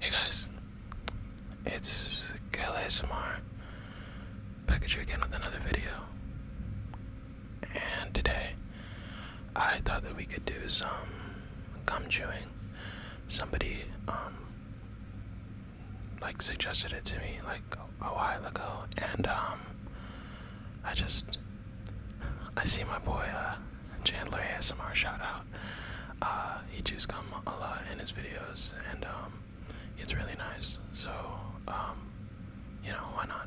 Hey guys, it's KLASMR back at you again with another video. And today I thought that we could do some gum chewing. Somebody um, like suggested it to me like a while ago, and um, I just I see my boy uh, Chandler ASMR shout out. Uh, he chews gum a lot in his videos, and it's um, really nice. So you know why not?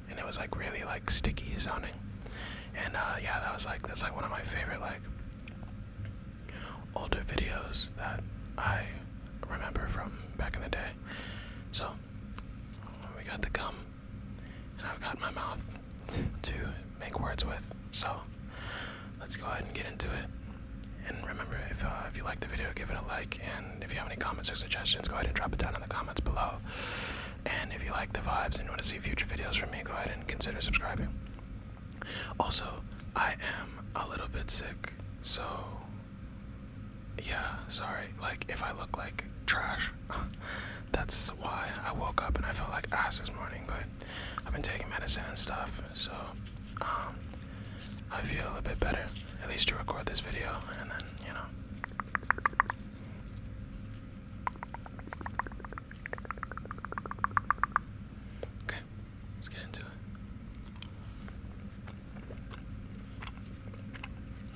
and it was like really like sticky sounding. And uh, yeah, that was like that's like one of my favorite like older videos that I remember from back in the day. So we got the gum, and I've got my mouth to make words with. So let's go ahead and get into it. And remember, if uh, if you like the video, give it a like. And if you have any comments or suggestions, go ahead and drop it down in the comments below. And if you like the vibes and want to see future videos from me, go ahead and consider subscribing. Also, I am a little bit sick, so yeah, sorry. Like, if I look like trash, that's why I woke up and I felt like ass this morning, but I've been taking medicine and stuff, so um, I feel a bit better. At least to record this video, and then, you know. Okay, let's get into it.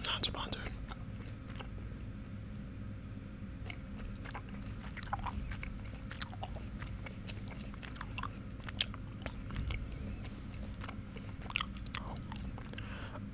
Not sponsored.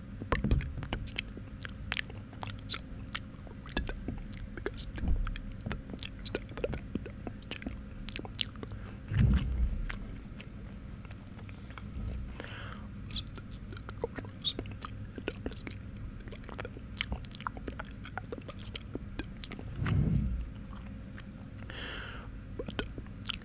So, we did that because the stuff that I found on this channel. So, this the girls, and honestly, like them. I the last time. But,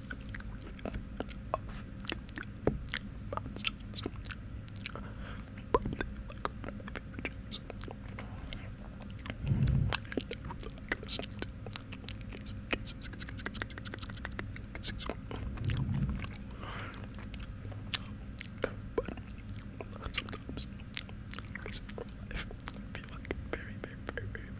But sometimes I feel like very, very, very, very,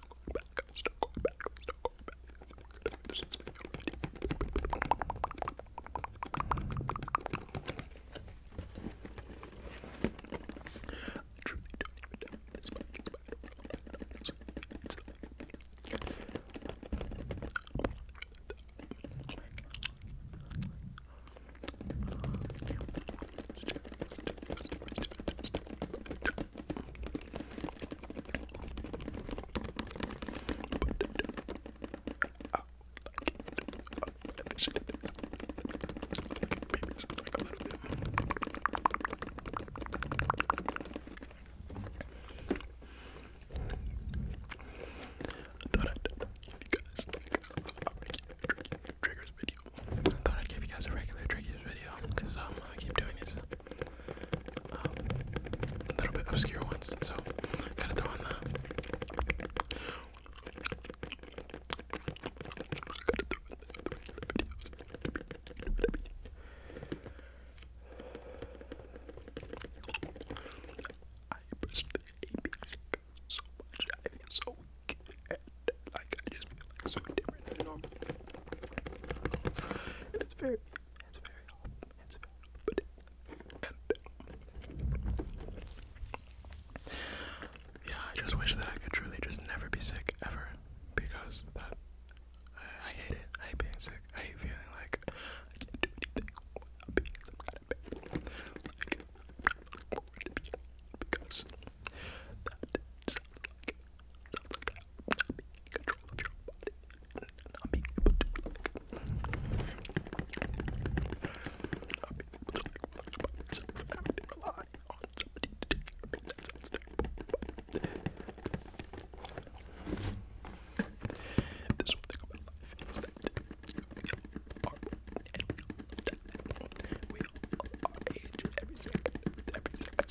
start going back, start going back, start going back. This is me already. I truly don't even know what this mic is, but I don't know what it is. It's like... Oh my god. I thought I'd you guys like a triggers video. I thought I'd give you guys a regular trickies video because um, I keep doing these a um, little bit obscure ones, so gotta throw in the. I pressed the apex so much. I am so weak like I just feel like so different than normal. And it's very, it's very it's very but yeah, I just wish that I could truly just never be sick ever, because I, hate it. I hate being sick. I hate feeling like I can't do anything without being some kind of pain. Like, I'm not looking forward to because that sounds like control of your body and not being able to not being able to like watch by myself and having to rely on somebody to take care of me. That one thing about life, it's that we all are and we all die. age every second, every second.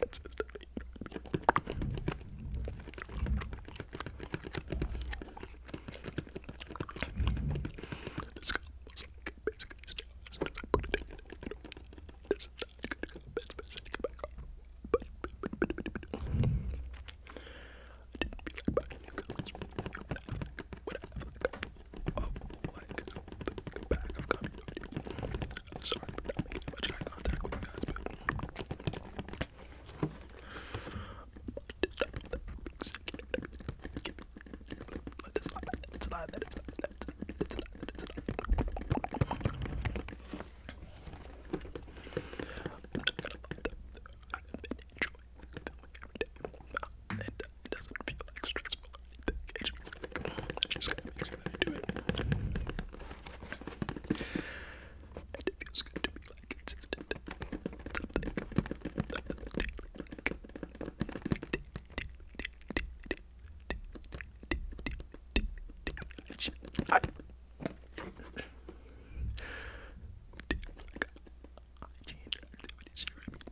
That's it. This cup was like basically stars, and I put it in, and you know, this is not good to go, best, best, and back off. But, but, but, but, but, but, but, I didn't feel like buying new colors, but I feel like, but I feel like, oh, like, the back of community. Sorry for not making much eye contact with you guys, but. It's not that, it's not that, it's not that, it's not that, it's not that. I'm gonna love that. I've been enjoying filming every day. I'm and it doesn't feel like stressful or just feels like, it just kind do it. it feels good to be consistent. It's something I'm activities here,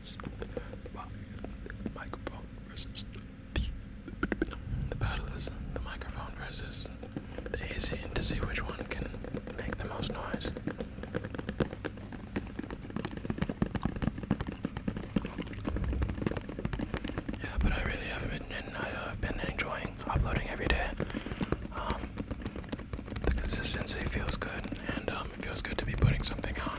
the, battle is the microphone versus the AC to see which one can make the most noise. Yeah, but I really have uh, been, enjoying uploading every day. Um, the consistency feels good, and um, it feels good to be putting something out.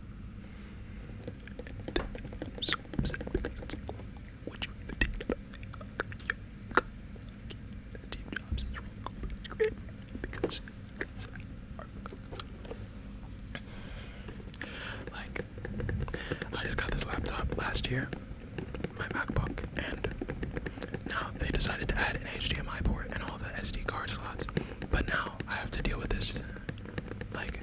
i like, I just got this laptop last year, my MacBook, and now they decided to add an HDMI port and all the SD card slots. But now I have to deal with this like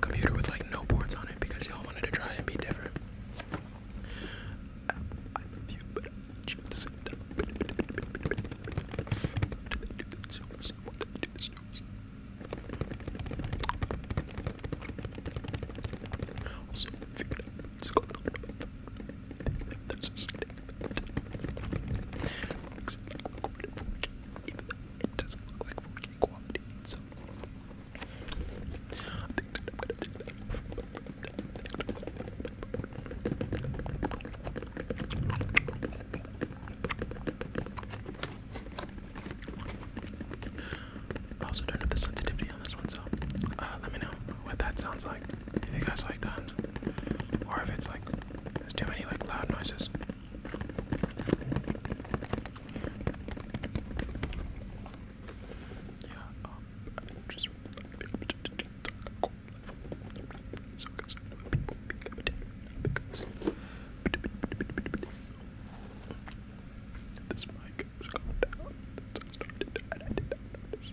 computer with like no boards on it because y'all wanted to try and be different. I, I love you, but also, figured out what's going on. That's a it doesn't look like 4K quality, so I also don't the sensitivity on this one, so uh, let me know what that sounds like. If you guys like that, or if it's like there's too many like loud noises. Yeah, um, I'm just so concerned about people because this mic has gone down since I started and I did not notice.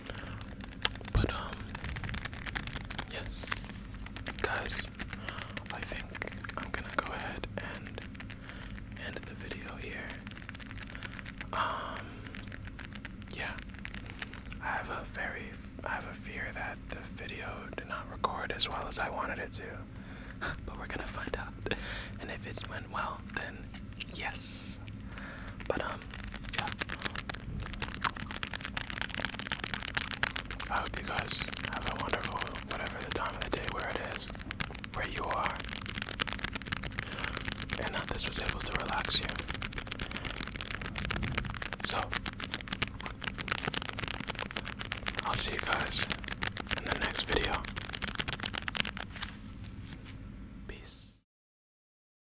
But um yes. Guys, I think I'm gonna go ahead and end the video here. Um yeah. I have a very I have a fear that the video did not record as well as I wanted it to. but we're gonna find out. And if it went well, then yes. But um, yeah. I hope you guys have a wonderful whatever the time of the day where it is, where you are, and that this was able to relax you. So I'll see you guys in the next video. Peace.